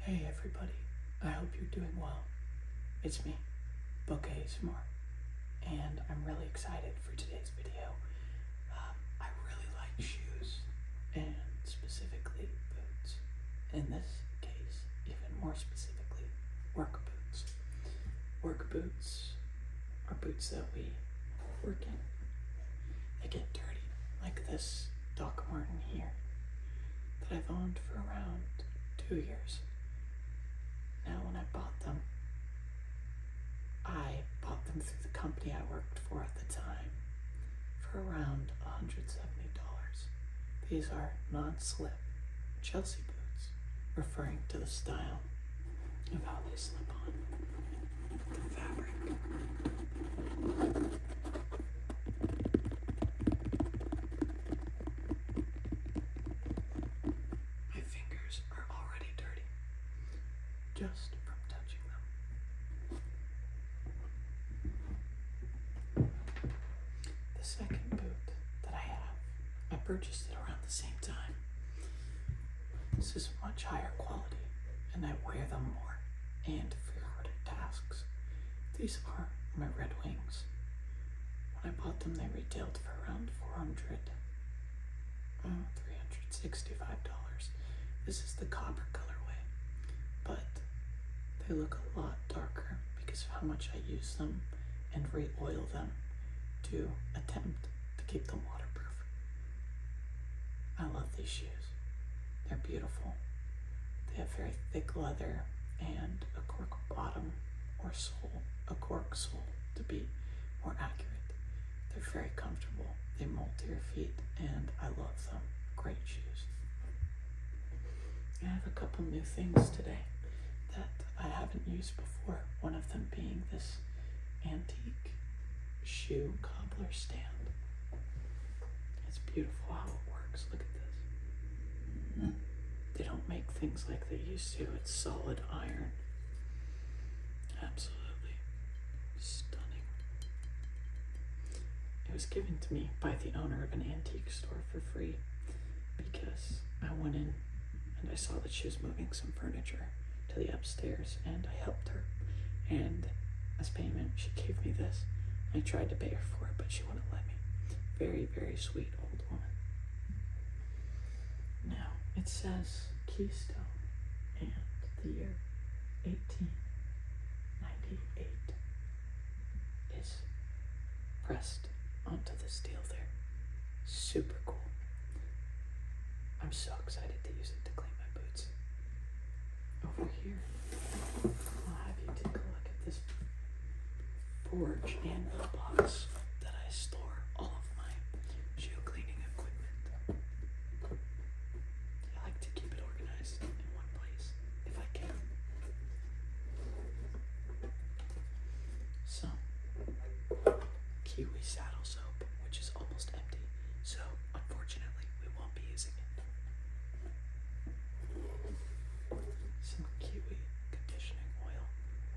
Hey everybody, I hope you're doing well. It's me, Book ASMR, and I'm really excited for today's video. Um, I really like shoes, and specifically boots. In this case, even more specifically, work boots. Work boots are boots that we work in. They get dirty, like this Doc Martin here that I've owned for around two years. Now, when I bought them, I bought them through the company I worked for at the time for around $170. These are non slip Chelsea boots, referring to the style of how they slip on. My fingers are already dirty just from touching them. The second boot that I have, I purchased it around the same time. This is much higher quality, and I wear them more and for harder tasks. These are my Red Wings. When I bought them, they retailed for around 400 uh, $365. This is the copper colorway, but they look a lot darker because of how much I use them and re-oil them to attempt to keep them waterproof. I love these shoes. They're beautiful. They have very thick leather and a cork bottom or sole, a cork sole to be more accurate. They're very comfortable. They mold to your feet and I love them. Great shoes. I have a couple new things today that I haven't used before. One of them being this antique shoe cobbler stand. It's beautiful how it works. Look at this. Hmm. They don't make things like they used to. It's solid iron. Absolutely stunning. It was given to me by the owner of an antique store for free because I went in and I saw that she was moving some furniture to the upstairs and I helped her. And as payment, she gave me this. I tried to pay her for it, but she wouldn't let me. Very, very sweet old woman. Now, it says Keystone and the year 1898 is pressed onto the steel there. Super cool. I'm so excited to use it to clean my boots over here. I'll have you take a look at this forge and box that I store all of my geo cleaning equipment. I like to keep it organized in one place if I can. So, Kiwi Saddle Soap, which is almost empty. So, unfortunately, we won't be using it. Some kiwi conditioning oil,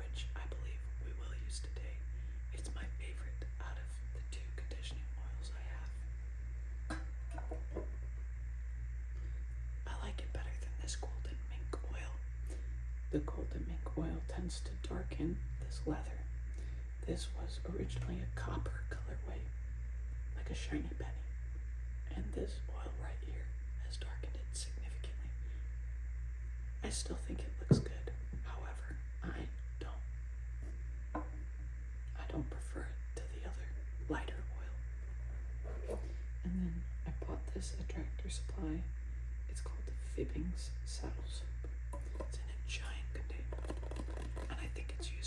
which I believe we will use today. It's my favorite out of the two conditioning oils I have. I like it better than this golden mink oil. The golden mink oil tends to darken this leather, this was originally a copper colorway, like a shiny penny, and this oil right here has darkened it significantly. I still think it looks good, however, I don't. I don't prefer it to the other lighter oil. And then I bought this at Tractor Supply. It's called the Fibbings Saddles. It's in a giant container, and I think it's used.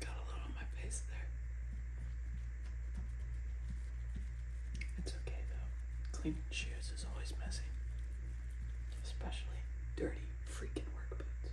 Got a little on my face there. It's okay though. Cleaning shoes is always messy. Especially dirty freaking work boots.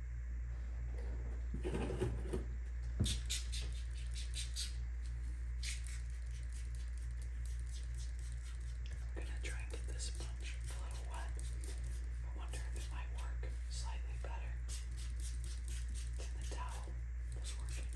I'm gonna try and get this sponge a little wet. I wonder if it might work slightly better than the towel was working. Okay,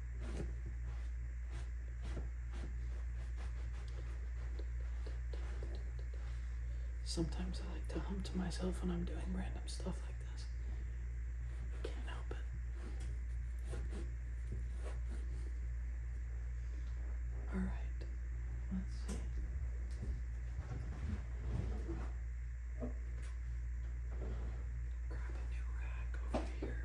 Sometimes I like to hum to myself when I'm doing random stuff like this. can't help it. Alright, let's see. Grab a new rack over here.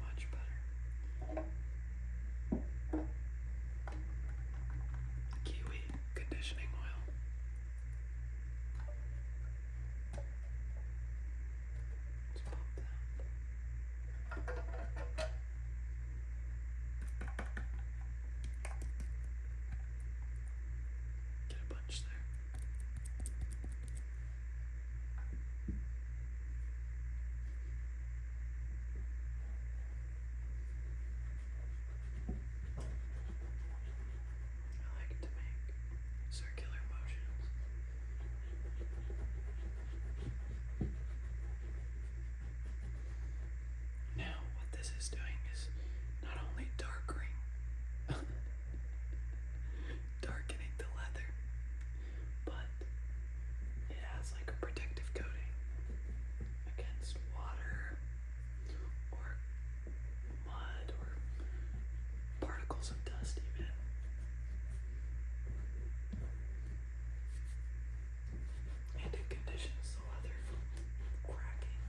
Much better. Kiwi conditioning oil. Let's pop that. Get a bunch there. There I like to make circular motions. Now, what this is doing is not only darkening, darkening the leather, but it has like a protective coating against water or mud or particles of dust, even. And it conditions the weather cracking.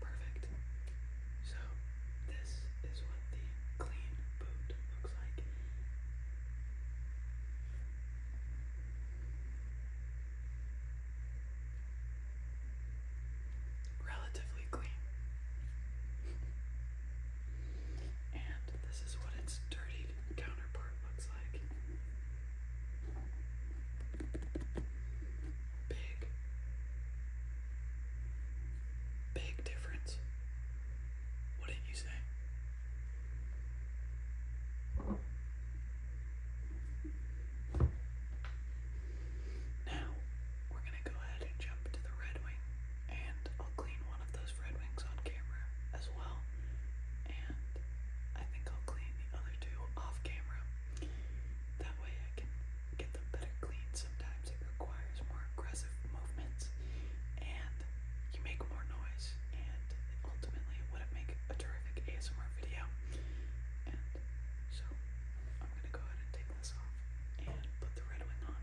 Perfect. So, this is what the clean boot looks like. Relatively clean. and this is what it's dirtied counterpart looks like. Big, big difference. What did you say? Now, we're going to go ahead and jump to the Red Wing, and I'll clean one of those Red Wings on camera as well, and I think I'll clean the other two off camera. That way I can get them better clean. Sometimes it requires more aggressive movements, and you make more noise, and ultimately it wouldn't make a terrific ASMR video. And so I'm gonna go ahead and take this off and put the Red Wing on.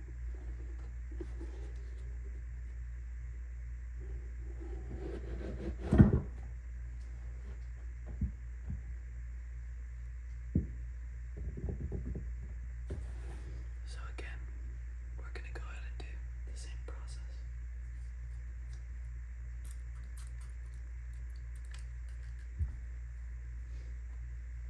So again, we're going to go ahead and do the same process.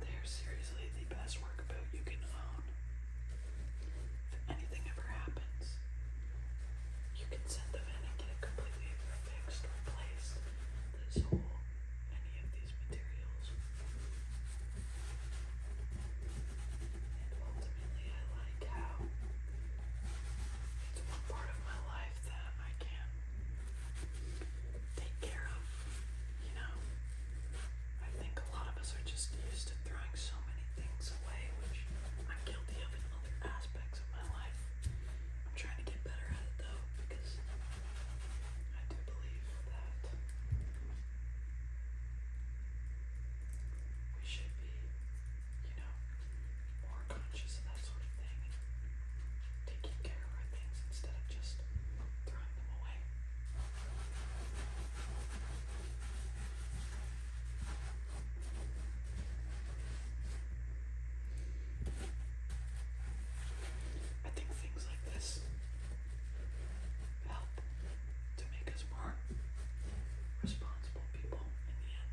They're seriously the best workboat you can own. If anything ever happens, you can send them in and get it completely fixed, replaced, this whole, any of these materials. And ultimately, I like how it's one part of my life life that I can't take care of, you know? I think a lot of us are just used to throwing so many things away, which I'm guilty of in other aspects of my life. I'm trying to get better at it though, because I do believe that we should be, you know, more conscious of that sort of thing and taking care of things instead of just throwing them away. I think things like this help to make us more responsible people in the end.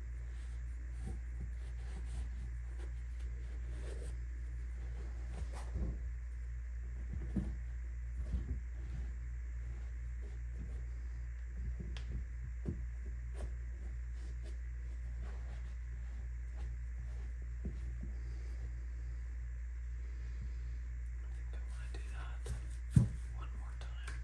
I want to do that one more time.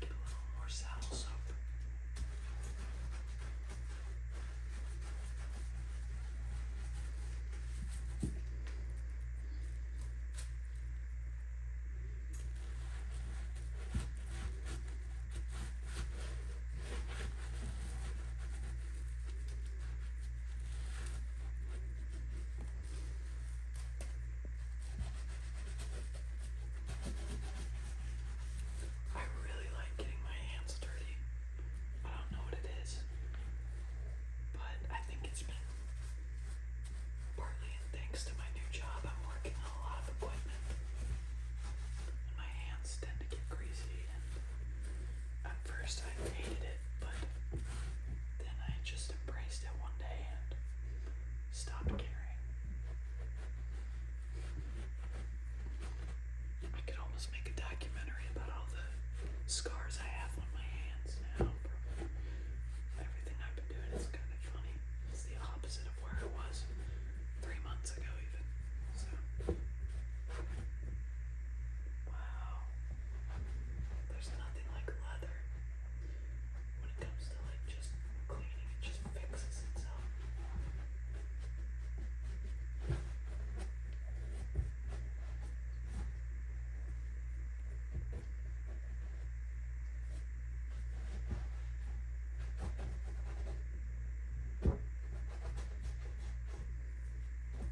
Get a little more saddle soap. All I really like getting my hands dirty. I don't know what it is, but I think it's been partly thanks to my new job. I'm working a lot of equipment, and my hands tend to get greasy. at first, I hated it but then I just embraced it one day and stopped caring. I could almost make a documentary about all the scars I have on my hands now everything I've been doing. It's kind of funny. It's the opposite of where I was three months ago, even. Wow. There's nothing like leather when it comes to like just cleaning, just fixes itself.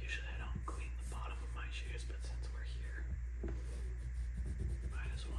Usually I don't clean the bottom of my shoes, but since we're here, might as well.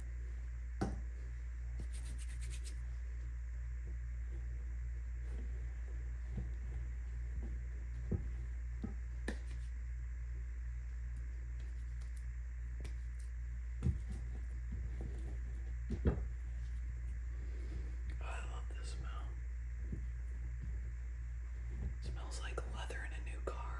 I love this smell. It smells like leather in a new car.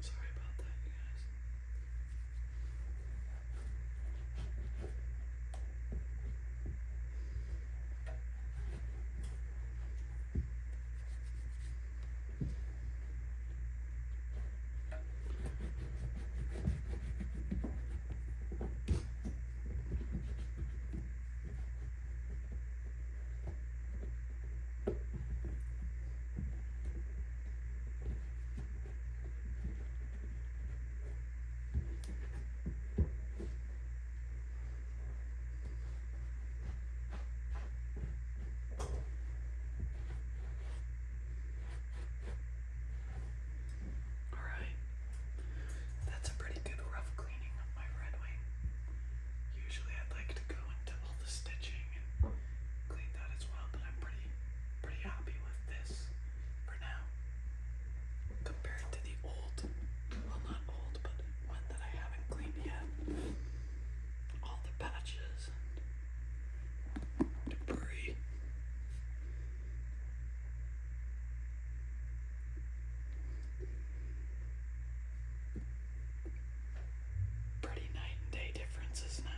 Sorry about that, you guys. Alright, that's a pretty good rough cleaning of my red wing. Usually I'd like to go into all the stitching cleaned that as well, but I'm pretty pretty happy with this for now. Compared to the old, well not old, but one that I haven't cleaned yet. All the patches debris. Pretty night and day difference, isn't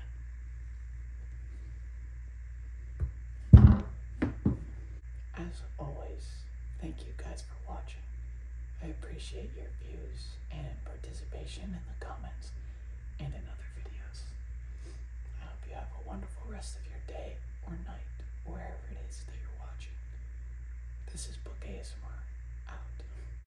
it? As always, thank you guys for watching. I appreciate your views and participation in the comments and in other videos. I hope you have a wonderful rest of your day or night, wherever it is that you're watching. This is Book ASMR out.